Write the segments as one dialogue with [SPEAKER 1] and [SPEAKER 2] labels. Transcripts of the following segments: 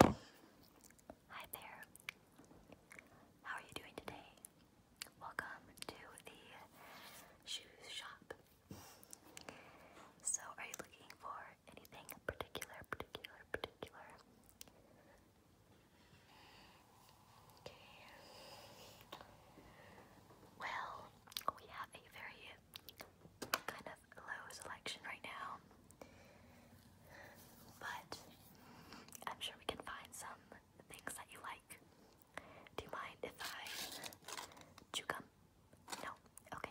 [SPEAKER 1] Hi there. How are you doing today? Welcome to the shoes shop. So, are you looking for anything particular, particular, particular? Well, we have a very kind have low selection right now, but I'm sure we can find some things that you like. Do you mind if I chew gum? No? Okay.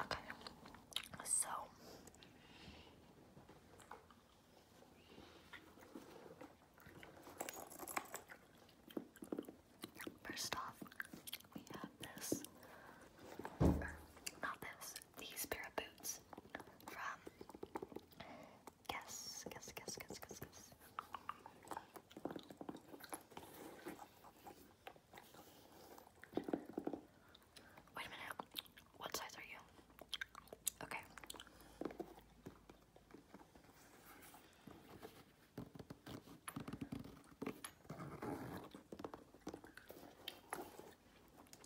[SPEAKER 1] Okay, so first off, we have this, not this, these pair of boots from. Guess, guess, guess, guess, guess, guess. Wait a minute. What size are you? Okay.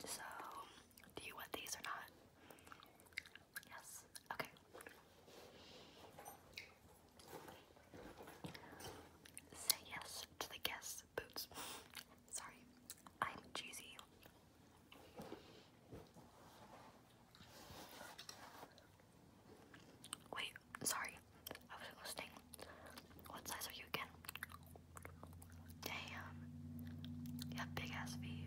[SPEAKER 1] So, do you want these or not? Yes. Okay. Say yes to the guess boots. Sorry, I'm cheesy. Wait, sorry, I was listening. What size are you again? Damn, you have big ass feet.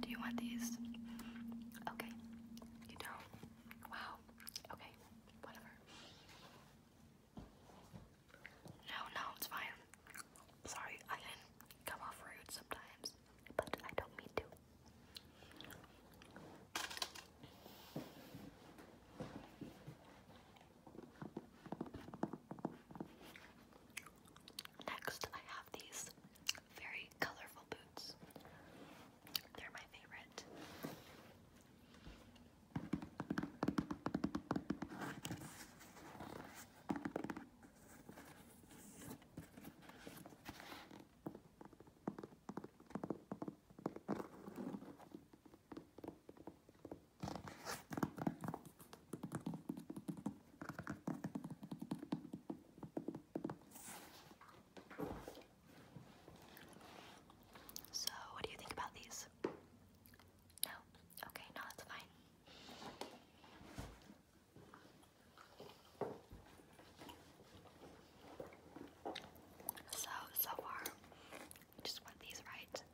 [SPEAKER 1] Do you want these? Okay. You don't? Wow. Okay. Whatever. No, no, it's fine. Sorry, I can come off rude sometimes, but I don't mean to. Next, I have these very colorful boots. They're my favorite. So, what do you think about these? No? Okay, no, that's fine. So, so far, just want these right.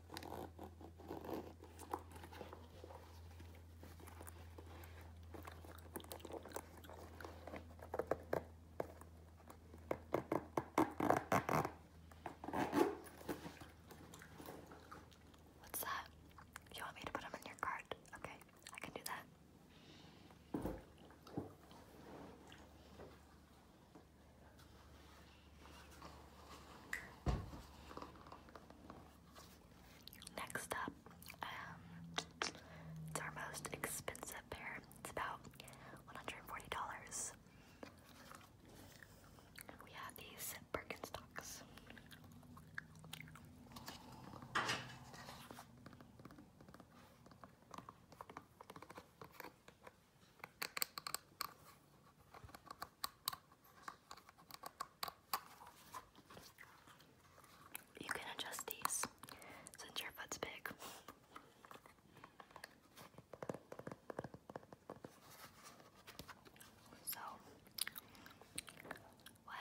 [SPEAKER 1] What's that? You want me to put them in your cart? Okay, I can do that. Next up, um, it's our most expensive pair. It's about $140. And we have these Birkenstocks. You can adjust these since your foot's big. So, what?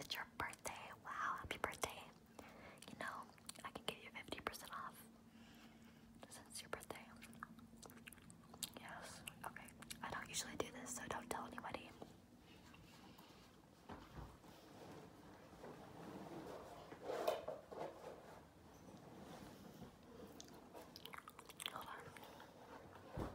[SPEAKER 1] It's your birthday. Wow, happy birthday. You know, I can give you 50% off since your birthday? Yes. Okay. I don't usually do this, so don't tell anybody. Hold on.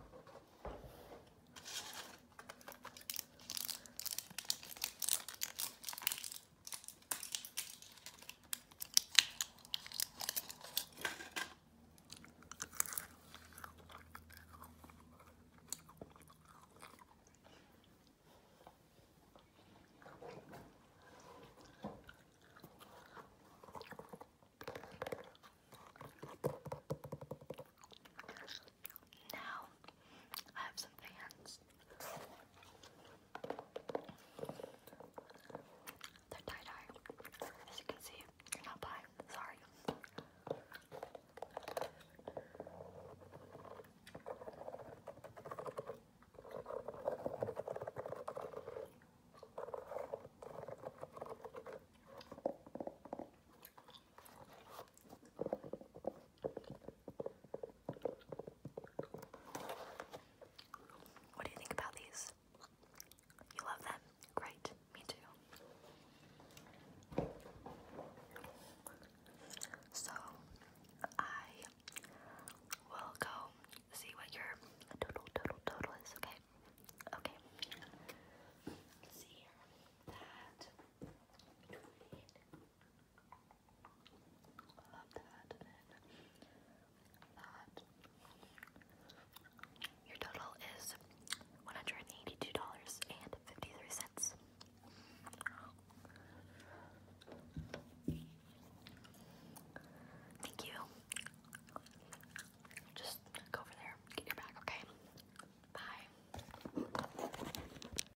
[SPEAKER 1] Now I have some fans. They're tie-dye. As you can see, you're not buying. Sorry. What do you think about these? You love them? Great, me too. So, I will go see what your total, total, total is, okay? Okay. see That your total is one hundred and eighty-two dollars and fifty-three cents. Thank you. Just go over there, get your bag, okay? Bye.